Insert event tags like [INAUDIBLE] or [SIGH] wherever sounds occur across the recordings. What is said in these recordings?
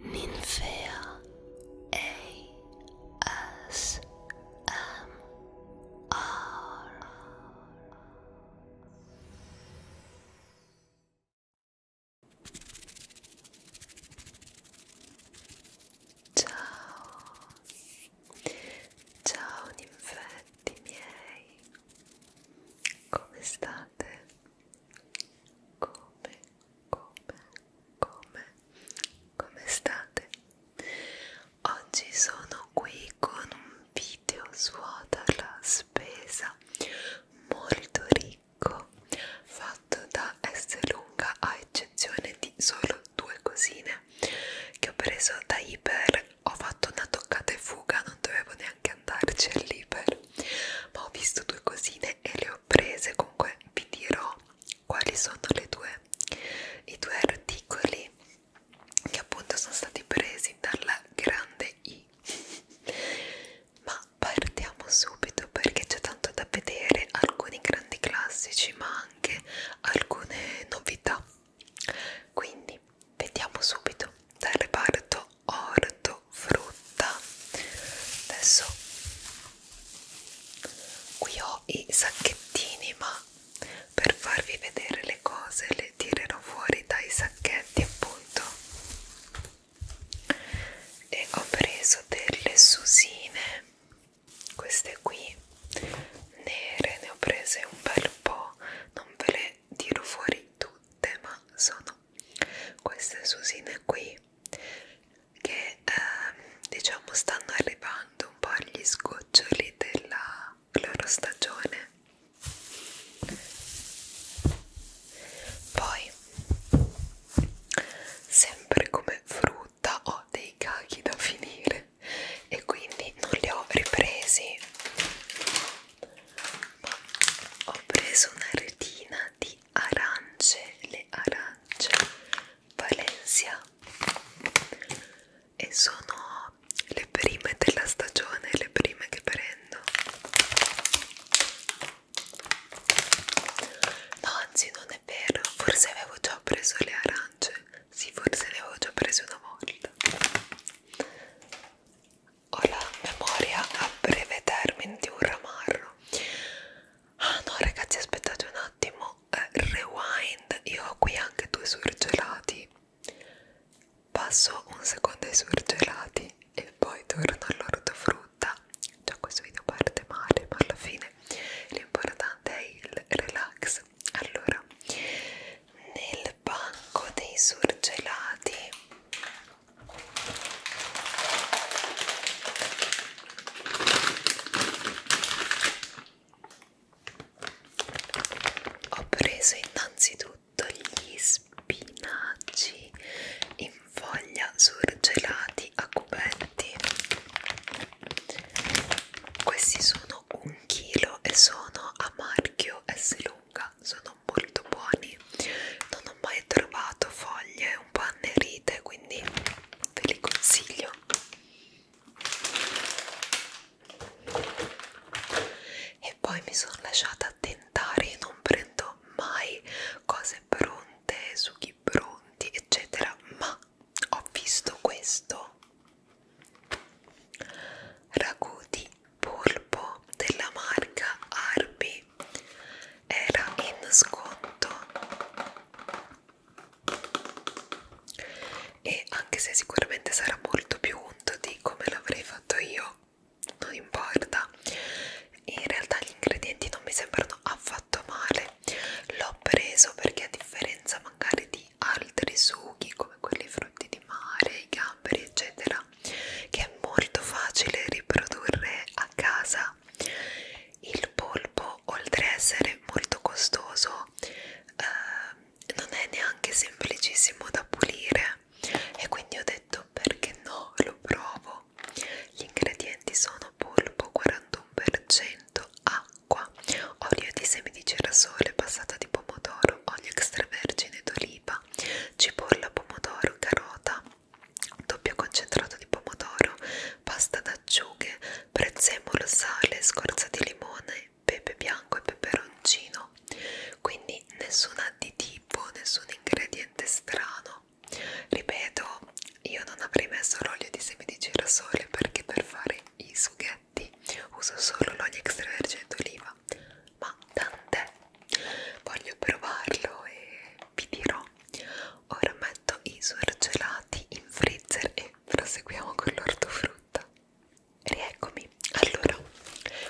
Ninfea ASMR Ciao Ciao ninfetti miei Come state? come, come, come, come state? Oggi sono qui con un video suota la spesa molto ricco fatto da S lunga a eccezione di solo due cosine che ho preso da Iper ho fatto una toccata e fuga non dovevo neanche andarci all'Iper ma ho visto due cosine e le ho ho prese comunque vi dirò quali sono le due, i due articoli che appunto sono stati presi dalla grande I [LAUGHS] ma partiamo subito perché c'è tanto da vedere alcuni grandi classici ma anche alcune novità quindi vediamo subito dal reparto ortofrutta adesso qui ho i sacchettini ma per farvi vedere le cose le tirerò fuori dai sacchetti appunto e ho preso delle susine queste qui nere ne ho prese un bel po' non ve le tiro fuori tutte ma sono queste susine qui che eh, diciamo stanno arrivando un po' agli sgoccioli della loro stagione poi sempre come frutta ho dei cachi da finire e quindi non li ho ripresi ma ho preso una retina di di arance, le arance Valencia e sono le prime della stagione, le prime che prendo no anzi non è vero, forse avevo già preso le arance sì forse ne avevo già prese una volta ho la memoria a breve termine di un ramarro ah no ragazzi aspettate un attimo eh, rewind io ho qui anche due surgelati passo un secondo ai surgelati e poi torno all'ortofrutta già questo video parte male ma alla fine l'importante è il relax allora nel banco dei surgelati ho preso innanzitutto gli spinaci in foglia surgelati a cubetti. Questi sono un chilo e sono a marchio S lunga, sono molto buoni. Non ho non ho mai trovato foglie un po' annerite quindi ve li consiglio e poi mi sono lasciata tentare io non prendo mai cose pronte sughi pronti eccetera ma ho visto questo ragù di polpo della marca Arby era in sconto e anche se sicuramente sarà molto più unto di come l'avrei fatto io non importa in realtà gli ingredienti non mi sembrano affatto male l'ho preso perché a differenza magari di altri sughi come quelli frutti di mare i gamberi eccetera che è molto facile riprodurre a casa qualità. Il polpo, oltre a essere molto costoso, eh, non è neanche semplicissimo da pulire e quindi ho detto perché no, lo provo. Gli ingredienti sono polpo 41%, acqua, olio di semi di girasole, passata di pomodoro, olio extravergine d'oliva, cipolla, pomodoro, carota, doppio concentrato di pomodoro, pasta d'acciughe, prezzemolo, sale, scorza di limone, pepe bianco e peperoncino. Quindi nessun additivo, nessun ingrediente strano. Ripeto, io non avrei messo l'olio di semi di girasole perché per fare i sughetti uso solo l'olio extravergine d'oliva. Ma tant'è, voglio provarlo e vi dirò ora metto i surgelati in freezer e proseguiamo con l'ortofrutta rieccomi allora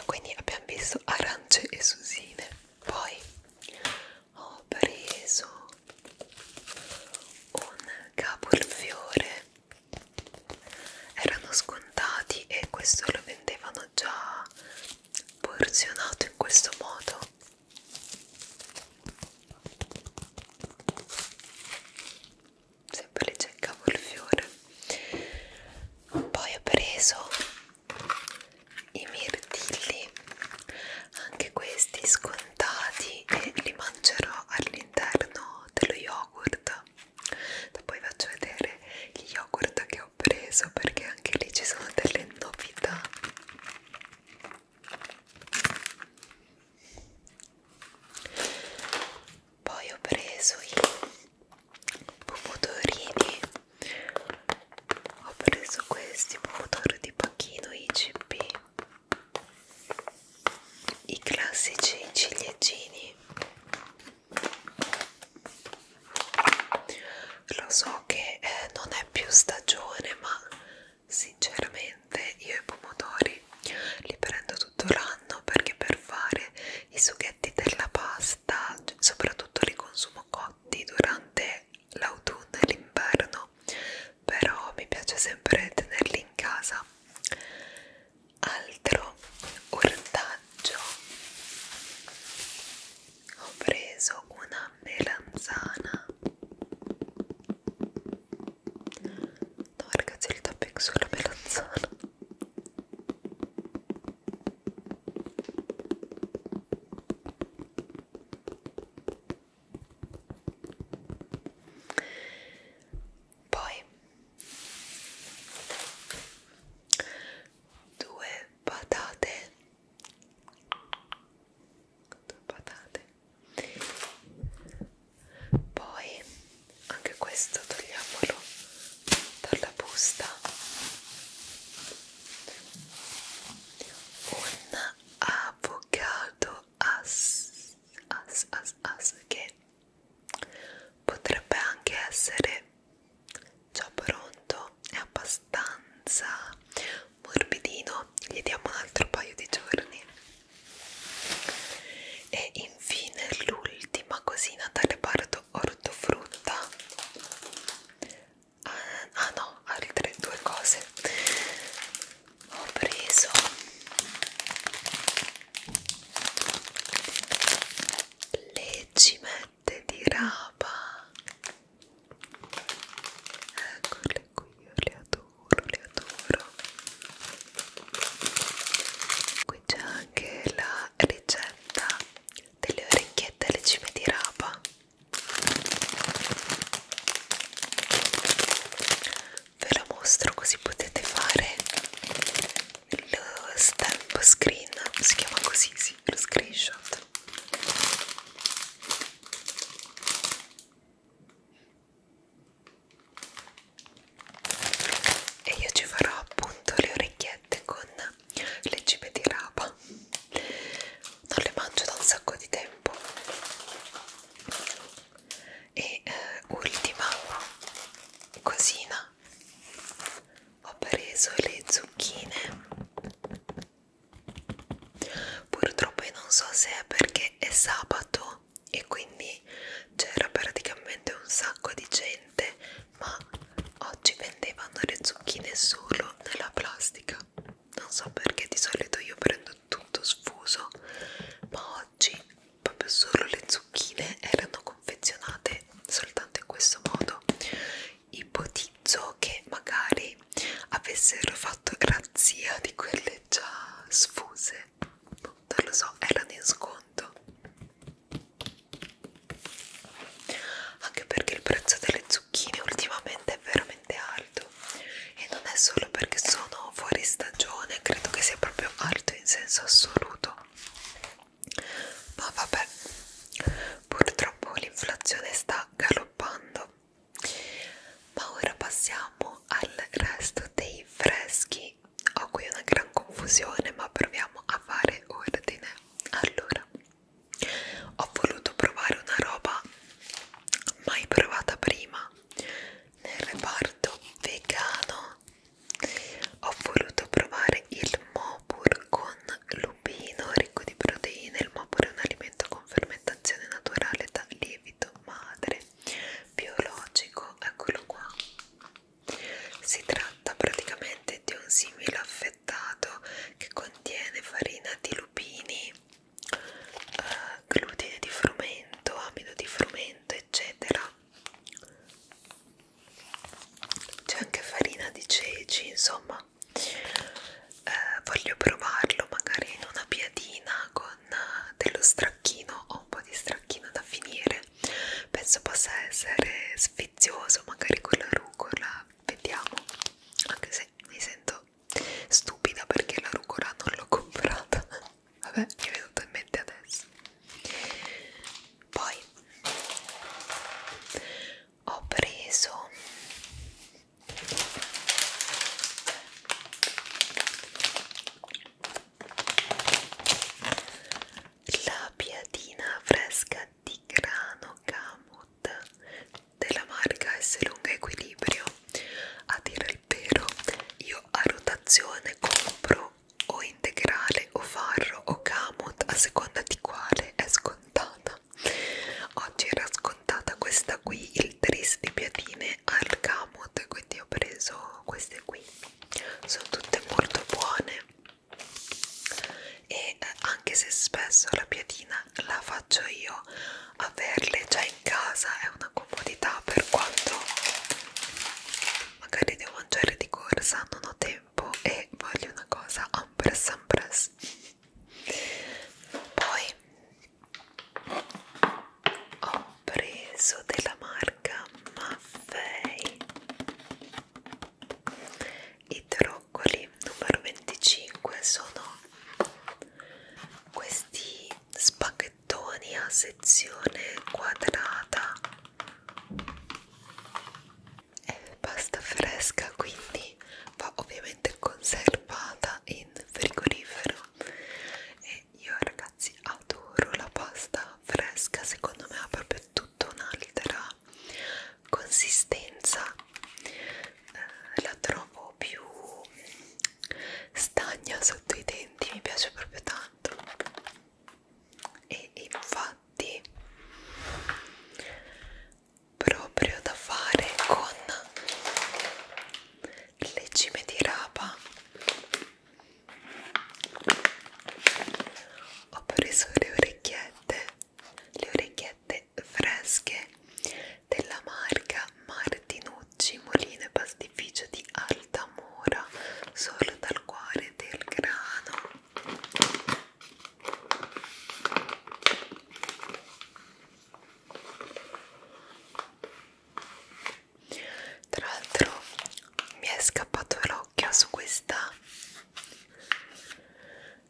quindi abbiamo visto arance e susine poi ho preso un cavolfiore erano scontati e questo lo vendevano già porzionato in questo modo sempre le cercavo il fiore poi ho preso i mirtilli anche questi scontati e li mangerò all'interno dello yogurt poi faccio vedere gli yogurt che ho preso perché anche lì ci sono delle novità poi ho preso i pomodorini ho preso questi pomodori di pacchino IGP i classici ciliegini lo so so diciamo che eh, non è più stagione ma sinceramente io i pomodori li prendo tutto l'anno perché per fare i sughetti della pasta soprattutto li consumo cotti durante l'autunno e l'inverno però mi piace sempre tenerli in casa altro ortaggio ho preso una melanzana no ragazzi il tapping sulla melanzana poi due patate con due patate poi anche questo togliamolo dalla busta un avocado as as as as che potrebbe anche essere già pronto è abbastanza morbidino gli diamo un altro paio di giorni e infine l'ultima cosina dal reparto ortofrutta ah, ah no altre due cose ho preso le cimette di rapa Eccole qui, io le adoro, le adoro. Qui c'è anche la ricetta delle orecchiette alle cime di rapa. Ve la mostro così potete fare lo stamp screen, si chiama così, sì, lo screenshot e io ci farò appunto le orecchiette con le cime di rapa non le mangio da un sacco di tempo e eh, ultima cosina ho preso le zucchine Purtroppo io non so se è perché è sabato e quindi c'era praticamente un sacco di gente, ma oggi vendevano le zucchine solo nella plastica. Non so perché di solito io prendo tutto sfuso, ma oggi proprio solo le zucchine erano confezionate soltanto in questo modo ipotizzo che magari avessero fatto razzia di quelle già sfuse non lo so, erano in sconto anche perché il prezzo delle zucchine ultimamente è veramente alto e non è solo perché sono fuori stagione credo che sia proprio alto in senso assoluto ma vabbè purtroppo l'inflazione sta galoppando ma ora passiamo al resto dei freschi ho qui una gran confusione ma proviamo a fare ordine allora ho voluto provare una roba mai provata prima nel reparto vegano ho voluto provare il mopur con lupino ricco di proteine, il mopore è un alimento con fermentazione naturale da lievito madre biologico, eccolo qua. Si tratta praticamente di un simile affettato che contiene farina di lupini, eh, glutine di frumento, amido di frumento, eccetera. C'è anche farina di ceci, insomma, qua eh, voglio provarlo magari in una piadina con eh, dello stracchino ho un po' di stracchino da finire penso possa essere sfizioso magari con la rucola vediamo anche se mi sento stupida perché la rucola non l'ho [LAUGHS] comprata vabbè mi è venuto in mente adesso poi ho preso la piadina fresca di grano camut della marca S lunga equilibrio a dire il vero io a rotazione compro o integrale o farro o camut a seconda di quale è scontata scontata oggi era scontata questa qui il tris di piadine al camut quindi ho preso queste qui sono tutte molto buone e eh, anche se spesso la piadina la faccio io averle già in casa è una comodità per quanto magari devo mangiare di corsa non ho tempo e voglio una cosa ampress ampress poi ho preso della marca Maffei i troccoli numero 25 sono questi spaghettoni a sezione quadrata è pasta fresca quindi va ovviamente praticamente conservata in frigorifero e io ragazzi adoro la pasta fresca secondo me ha proprio tutta una lettera consistenza eh, la trovo più stagna sotto i denti mi piace proprio tanto e infatti proprio da fare con le cime di rapa ho preso le orecchiette le orecchiette fresche della marca Martinucci Molino e Pastificio di Altamura solo dal cuore del grano tra l'altro mi è scappato l'occhio su questa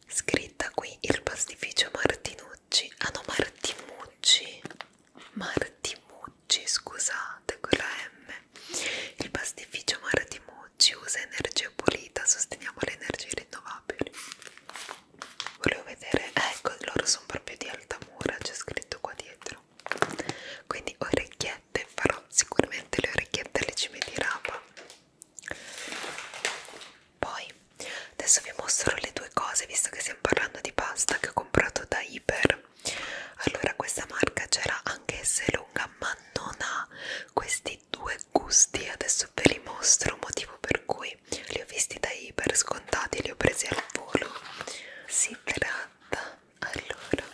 scritta qui il pastificio Martinucci, ah no Martimucci, Martimucci scusate con la M, il pastificio Martimucci usa energia pulita, sosteniamo le energie rinnovabili volevo vedere ecco loro sono proprio di alta mura c'è scritto qua dietro quindi orecchiette farò sicuramente le orecchiette alle cime di rapa poi adesso vi mostro le due cose visto che stiamo parlando di pasta che ho comprato da Iper allora questa marca c'era anche se lunga ma non ha questi due gusti adesso ve li mostro motivo per cui ok li ho visti da iper scontati li ho presi al volo si tratta allora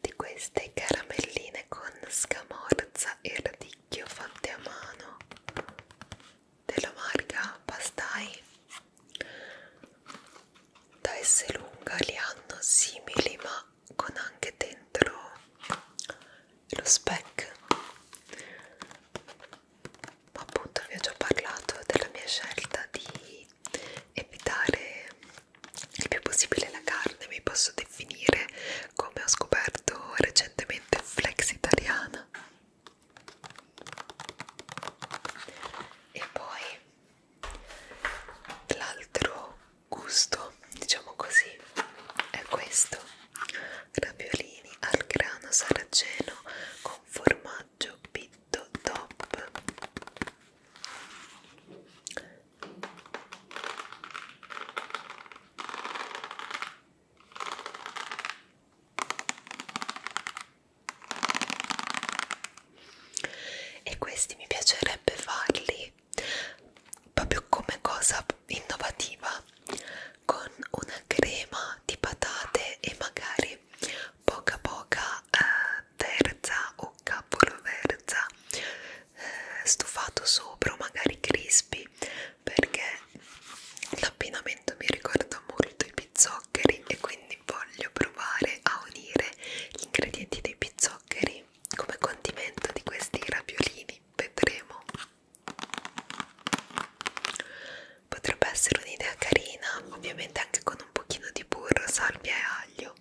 di queste caramelline con scamorza e radicchio fatte a mano della marca Pastai da S lunga li hanno simili ma con anche dentro lo spec appunto vi ho già parlato della mia scelta di evitare il più possibile la carne mi posso definire come ho scoperto recentemente flex italiana e poi l'altro gusto diciamo così è questo raviolini al grano saraceno con formaggio pitto top e questi mi piacerebbe farli proprio come cosa innovativa con una crema di patate e magari poca poca eh, terza o capoverza eh, stufato sopra o magari crispy perché l'abbinamento mi ricorda molto i pizzoccheri e quindi voglio provare a unire gli ingredienti dei pizzoccheri come condimento di questi raviolini vedremo potrebbe essere un'idea carina ovviamente anche con un pochino di burro, salvia e aglio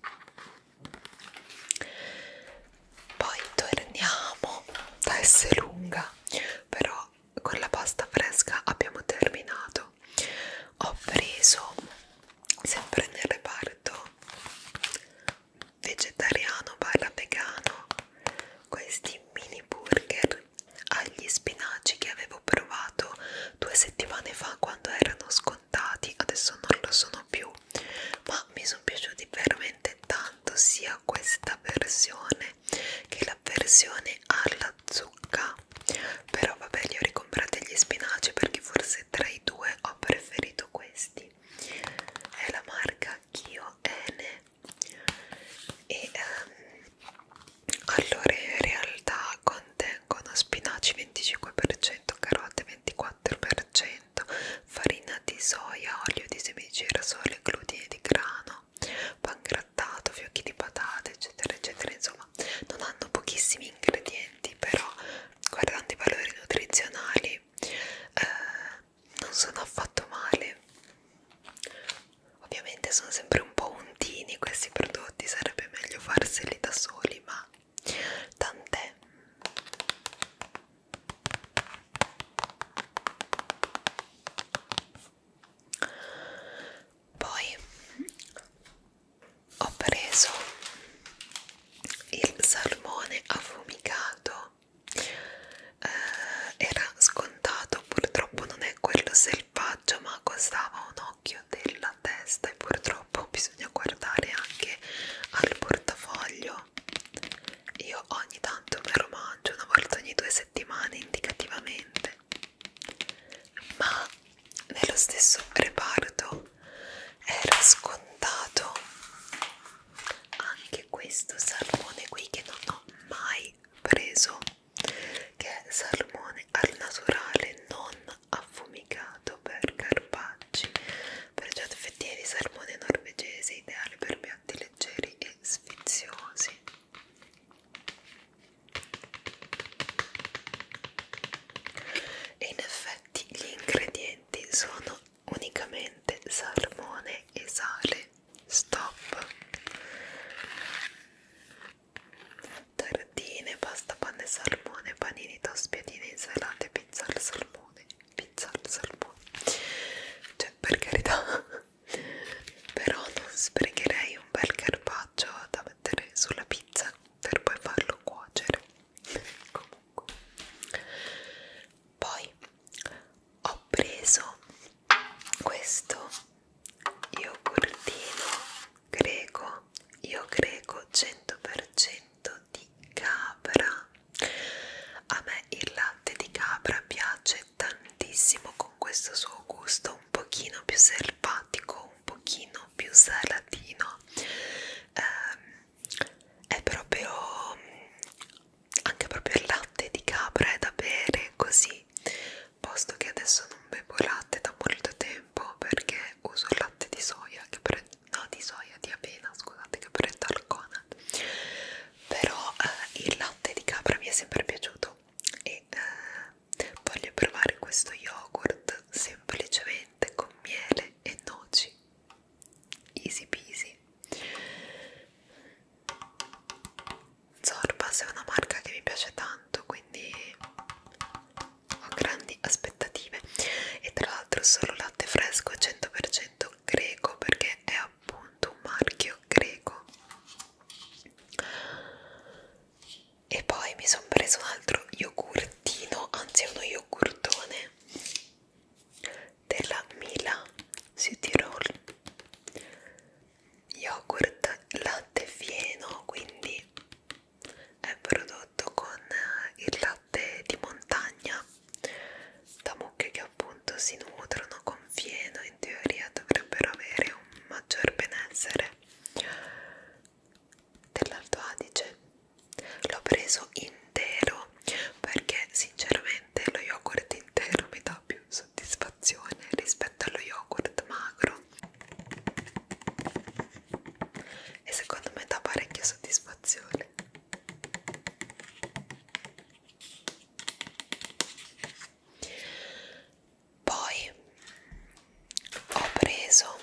poi torniamo da essere lunga però con la pasta fresca abbiamo terminato ho preso sempre nel reparto vegetariano barra vegano questi mini burger agli spinaci che avevo provato due settimane fa quando erano scontati adesso non lo sono più ma mi sono piaciuti veramente tanto sia questa versione che la versione alla zucca però vabbè li ho ricomprati gli spinaci perché forse tra i due ho preferito questi è la marca Kioene e um, allora in realtà contengono spinaci 25%, carote 24%, farina di soia, olio di semi di girasole, glutine di grano, pan grattato, fiocchi di patate, eccetera, eccetera. Insomma, non hanno pochissimi ingredienti, però guardando i valori nutrizionali eh, non sono affatto male ovviamente sono sempre un po' untini questi prodotti sarebbe meglio farseli da soli ma tant'è poi ho preso il salmone affumicato eh, era scontato purtroppo non è quello selvaggio ma costava un occhio della testa e purtroppo bisogna guardare anche al portafoglio io ogni tanto me lo mangio una volta ogni due settimane indicativamente ma nello stesso reparto era scontato anche questo salmone qui che non ho mai preso che è salmone al naturale non affumicato per carpacci pregiate fettine di salmone norvegese ideale per piatti leggeri e sfiziosi e in effetti gli ingredienti sono unicamente salmone e sale stop tartine, pasta, panna e salmone panini, tospiatine, insalate pizza al salmone pizza al salmone cioè per carità però non sprecherei un bel carpaccio da mettere sulla pizza per poi farlo cuocere comunque poi ho preso questo yogurtino greco io greco 100% di capra a me il latte di capra piace tantissimo con questo suo gusto un pochino più selvatico un pochino più salatino ehm, è proprio anche proprio il latte di capra è da bere così posto che adesso non bevo latte da molto tempo perché uso il latte di soia che prendo no di soia di avena scusate che prendo al Conad però eh, il latte di capra mi è sempre piaciuto e eh, voglio provare questo yogurt semplicemente con miele e noci easy peasy Zorba è una marca che mi piace tanto quindi ho grandi aspettative e tra l'altro solo latte fresco 100% greco perché è appunto un marchio greco e poi mi sono preso un altro yogurtino anzi uno yogurtone della Mila Südtirol yogurt latte fieno quindi è prodotto con il latte di montagna da mucche che appunto si nutrono con fieno in teoria dovrebbero avere un maggior benessere dell'Alto Adige l'ho preso in intero perché sinceramente lo yogurt intero mi dà più soddisfazione rispetto allo yogurt magro e secondo me dà parecchia soddisfazione poi ho preso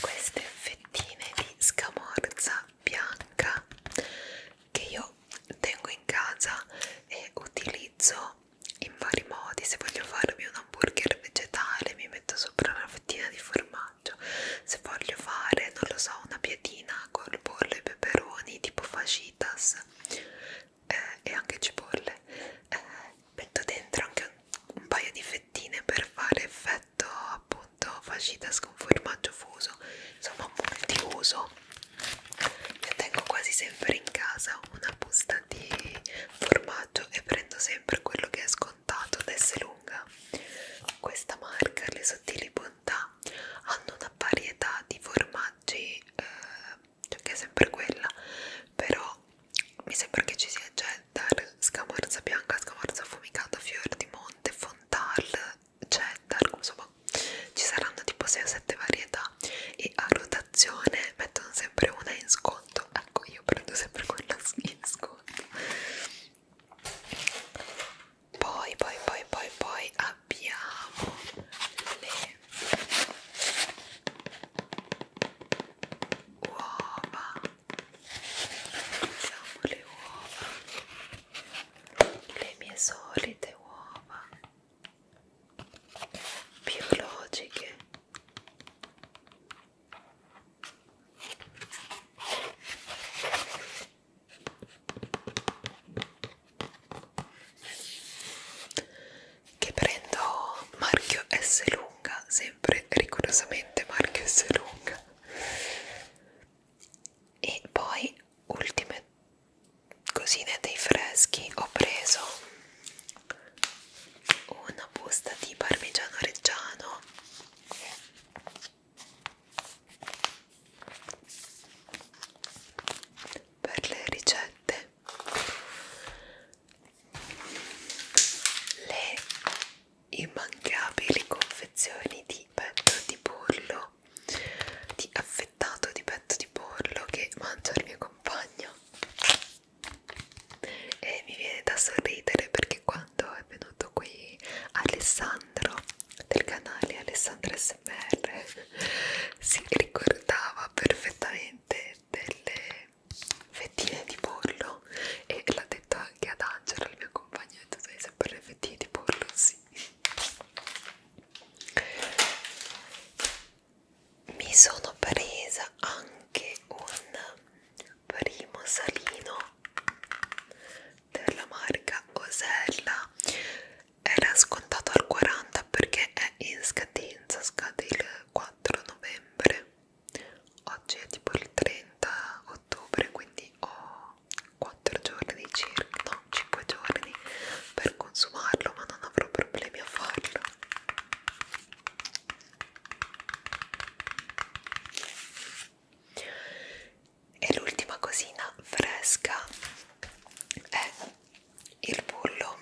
queste fettine di scamorza bianca che io tengo in casa e utilizzo in vari modi se voglio farmi un hamburger vegetale mi metto sopra una fettina di formaggio se voglio fare non lo so una piadina col pollo e peperoni tipo fajitas eh, e anche cipolle eh, metto dentro anche un, un paio di fettine per fare effetto appunto fajitas con formaggio fuso insomma multiuso io tengo quasi sempre in casa una busta di formaggio e prendo sempre quello che è scontato ad essere lunga questa marca le sottili bontà hanno una varietà di formaggi eh, cioè che è sempre quella però mi sembra che ci sia cheddar, scamorza bianca, scamorza affumicata, fior di monte, fontal, cheddar, insomma ci saranno tipo 6-7 varietà e a rotazione mettono sempre una in sconto, ecco io prendo sempre quella in sconto. Poi, poi, poi, poi, poi abbiamo le uova usiamo le uova le mie solite uova biologiche che prendo marchio SLU Serunga, sempre rigorosamente marchio Serunga. E poi ultime cosine dei freschi ho preso una busta di parmigiano reggiano per le ricette le immancabili confezioni di petto di pollo di affettato di petto di pollo che mangia il mio compagno e mi viene da sorridere perché quando è venuto qui Alessandro del canale Alessandro SMR [LAUGHS] si ricordava perfettamente delle fettine di pollo e l'ha detto anche ad Angela, la mia compagna, ha detto sai sempre le fettine di pollo, sì. Mi sono presa anche un primo salino della marca Osella era scontato al 40 perché è in scadenza, scade il 4 novembre Oggi è tipo il 30 ottobre, quindi ho 4 giorni circa, no, 5 giorni per consumarlo, ma non avrò problemi a farlo. E l'ultima cosina fresca è il bullo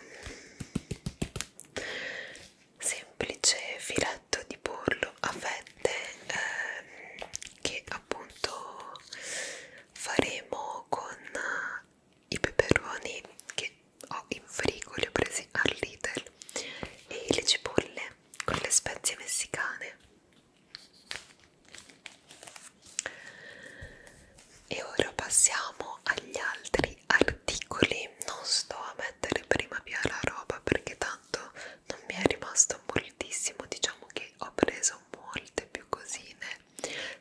semplice filetto di pollo a fette ehm, che appunto faremo con eh, i peperoni che ho in frigo, li ho presi al Lidl e le cipolle con le spezie messicane e ora passiamo agli altri articoli non sto a mettere prima via la roba perché tanto tanto non mi è rimasto moltissimo diciamo che ho preso molte più cosine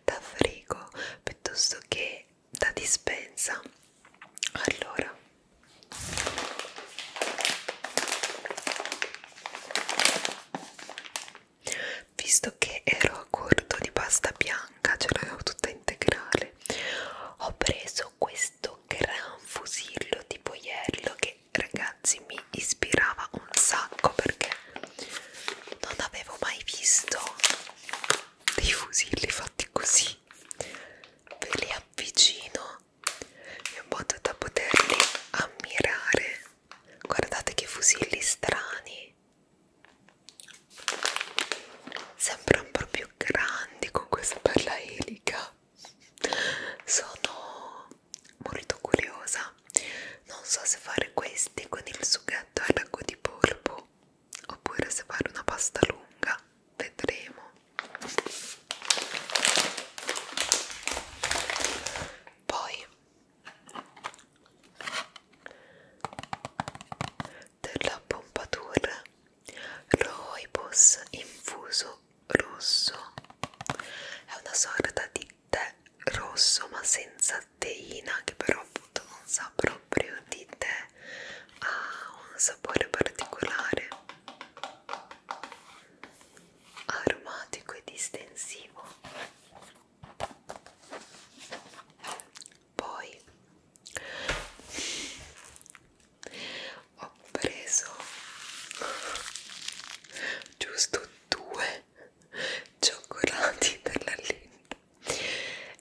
da frigo piuttosto che da dispensa allora visto che ero a corto di pasta bianca ce l'avevo tutta integrale ho preso questo questo gran fusillo tipo iello che ragazzi mi ispirava un sacco perché non avevo mai visto dei fusilli fatti così ve li avvicino in modo da poterli ammirare guardate che fusilli strani sembrano proprio grandi con questa bella elica sono molto curiosa non so se fare questi con il sughetto al ragù di polpo oppure se fare una pasta lunga vedremo poi della pompatura Roibos infuso rosso è una sorta di tè rosso ma senza teina che però appunto non sa proprio di tè ha un sapore particolare aromatico e distensivo poi ho preso giusto due cioccolati per la linda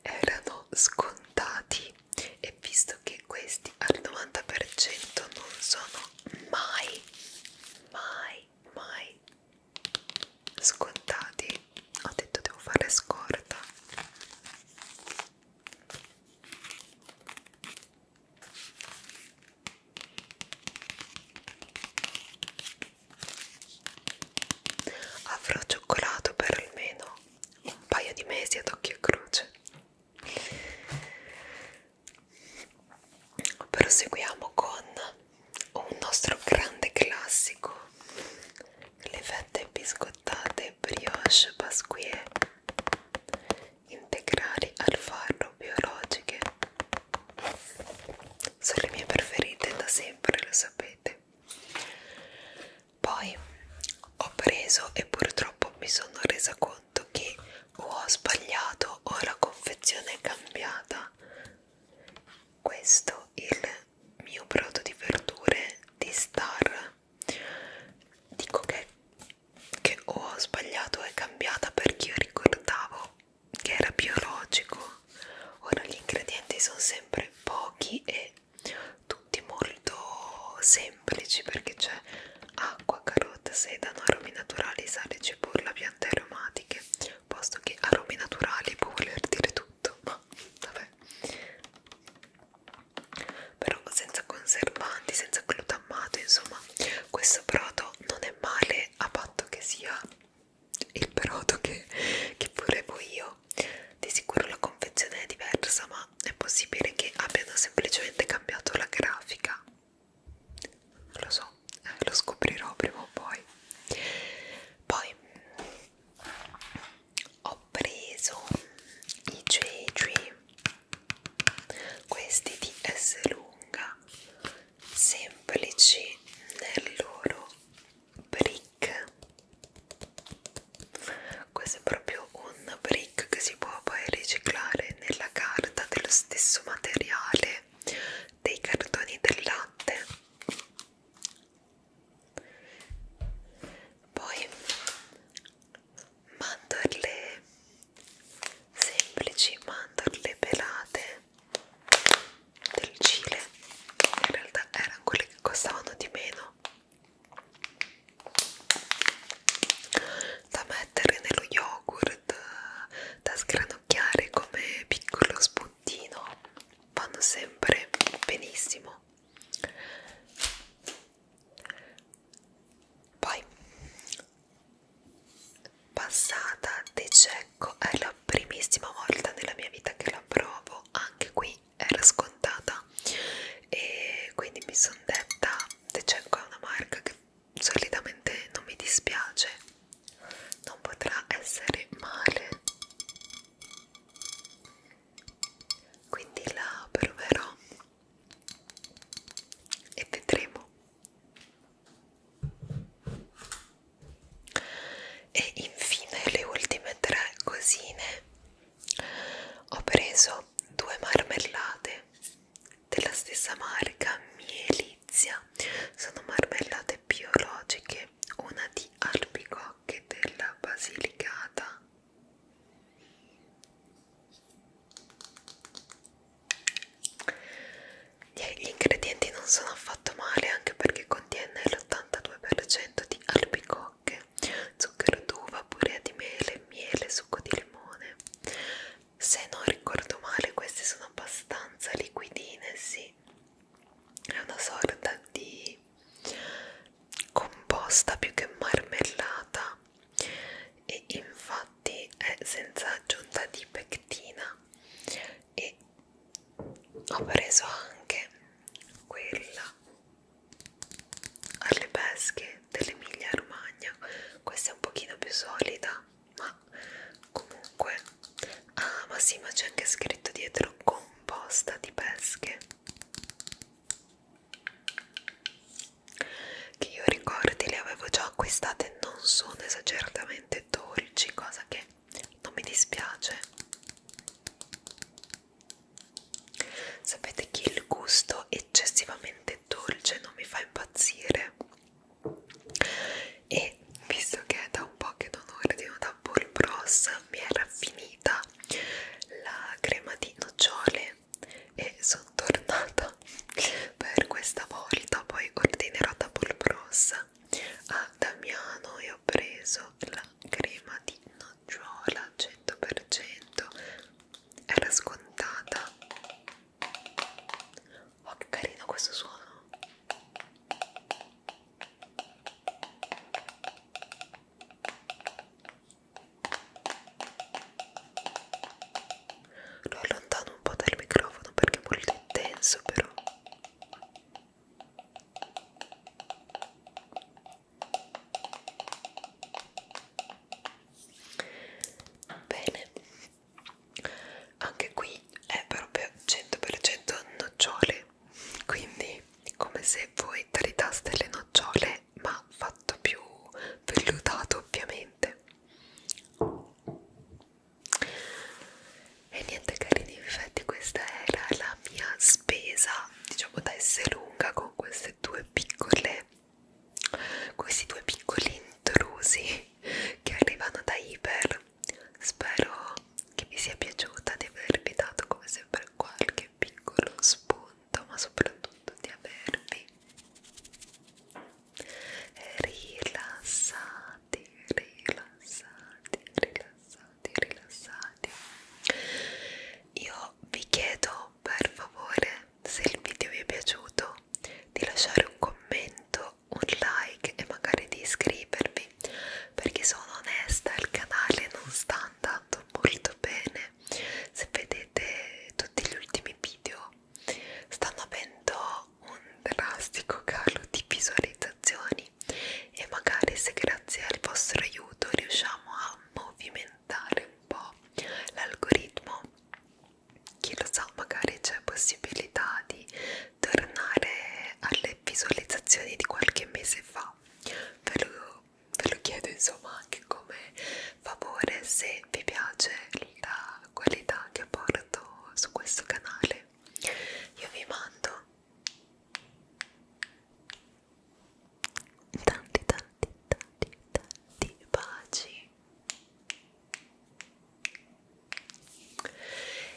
erano scontati e visto che questi al 90% non sono mai mai mai scontati ho detto devo fare scorta Avrò cioccolato per almeno un paio di mesi ad occhio e croce. Proseguiamo con un nostro grande classico, le fette biscottate brioche pasquier integrali al farro biologiche sono le mie preferite da sempre lo sapete poi ho preso e purtroppo mi sono resa conto che o ho sbagliato o la confezione è cambiata questo il mio brodo di verdure di Star dico che, che ho sbagliato e cambiata perché io ricordavo che era biologico ora gli ingredienti sono sempre pochi e tutti molto semplici perché c'è acqua, carota, sedano, aromi naturali, sale, cipolla, piante aromatiche posto che aromi naturali può voler dire tutto ma vabbè però senza conservanti, senza glutammato, insomma questo brodo non è male a patto che sia il brodo che, che volevo io di sicuro la confezione è diversa ma è possibile che abbiano semplicemente cambiato la grafica lo so, eh, lo scoprirò prima o poi poi ho preso i J3 questi di S lunga semplici nel loro brick questo è proprio un brick che si può poi riciclare nella carta dello stesso materiale dei cartoni del latte poi mandorle semplici, mandorle pelate del Cile, in realtà erano quelle che costavano di meno da mettere nello yogurt, da sgranocchiare come piccolo spuntino, vanno sempre benissimo poi, passata di cecco, è la primissima volta nella mia vita che la provo, anche qui era scontata e quindi mi sono detta, di cecco è una marca che solitamente non mi dispiace, non potrà essere male quindi la proverò e vedremo e infine le ultime tre cosine ho preso due marmellate della stessa marca Mielizia sono marmellate biologiche una di albicocche della Basilicata gli ingredienti non sono affatto male anche perché contiene l'82% di albicocche, zucchero d'uva, purea di mele, miele, succo di limone. Se non ricordo male queste sono abbastanza liquidine, sì. È una sorta di composta più che marmellata e infatti è senza aggiunta di pectina e ho preso anche quella alle pesche dell'Emilia Romagna questa è un pochino più solida ma comunque ah ma sì ma c'è anche scritto dietro composta di pesche che io ricordi le avevo già acquistate non sono esageratamente dolci cosa che non mi dispiace sapete che il gusto eccessivamente dolce non mi fa impazzire e visto che è da un po' che non ordino da Paul Bros mi era finita la crema di nocciole e sono tornata per questa volta poi ordinerò da Bros a Damiano e ho preso la crema di nocciola 100% era scontata oh che carino questo suono lo allontano un po' dal microfono perché è molto intenso però. Bene, anche qui è proprio 100% nocciole, quindi come se voi tritaste le nocciole verde ma fatto più vellutato ovviamente e niente carini infatti questa era la mia spesa diciamo da essere lunga con queste due piccole questi due piccoli intrusi che arrivano da Iper spero che vi sia piaciuta di avervi dato come sempre qualche piccolo spunto tanto, ma soprattutto di avervi rilassati, rilassati, rilassati, rilassati. Io vi chiedo per favore se il video vi è piaciuto di lasciare un commento, un like e magari di iscrivervi perché sono onesta il canale non sta andando molto bene se vedete tutti gli ultimi video stanno avendo un drastico calo di visualizzazioni e magari se grazie al vostro aiuto riusciamo a movimentare un po' l'algoritmo chi lo sa magari c'è possibilità di tornare alle visualizzazioni di qualche mese fa ve lo, ve lo chiedo insomma anche come favore se vi piace la qualità che porto su questo canale io vi mando tanti tanti tanti tanti baci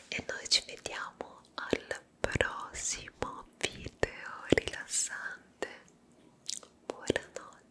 e noi ci vediamo al prossimo video rilassante buonanotte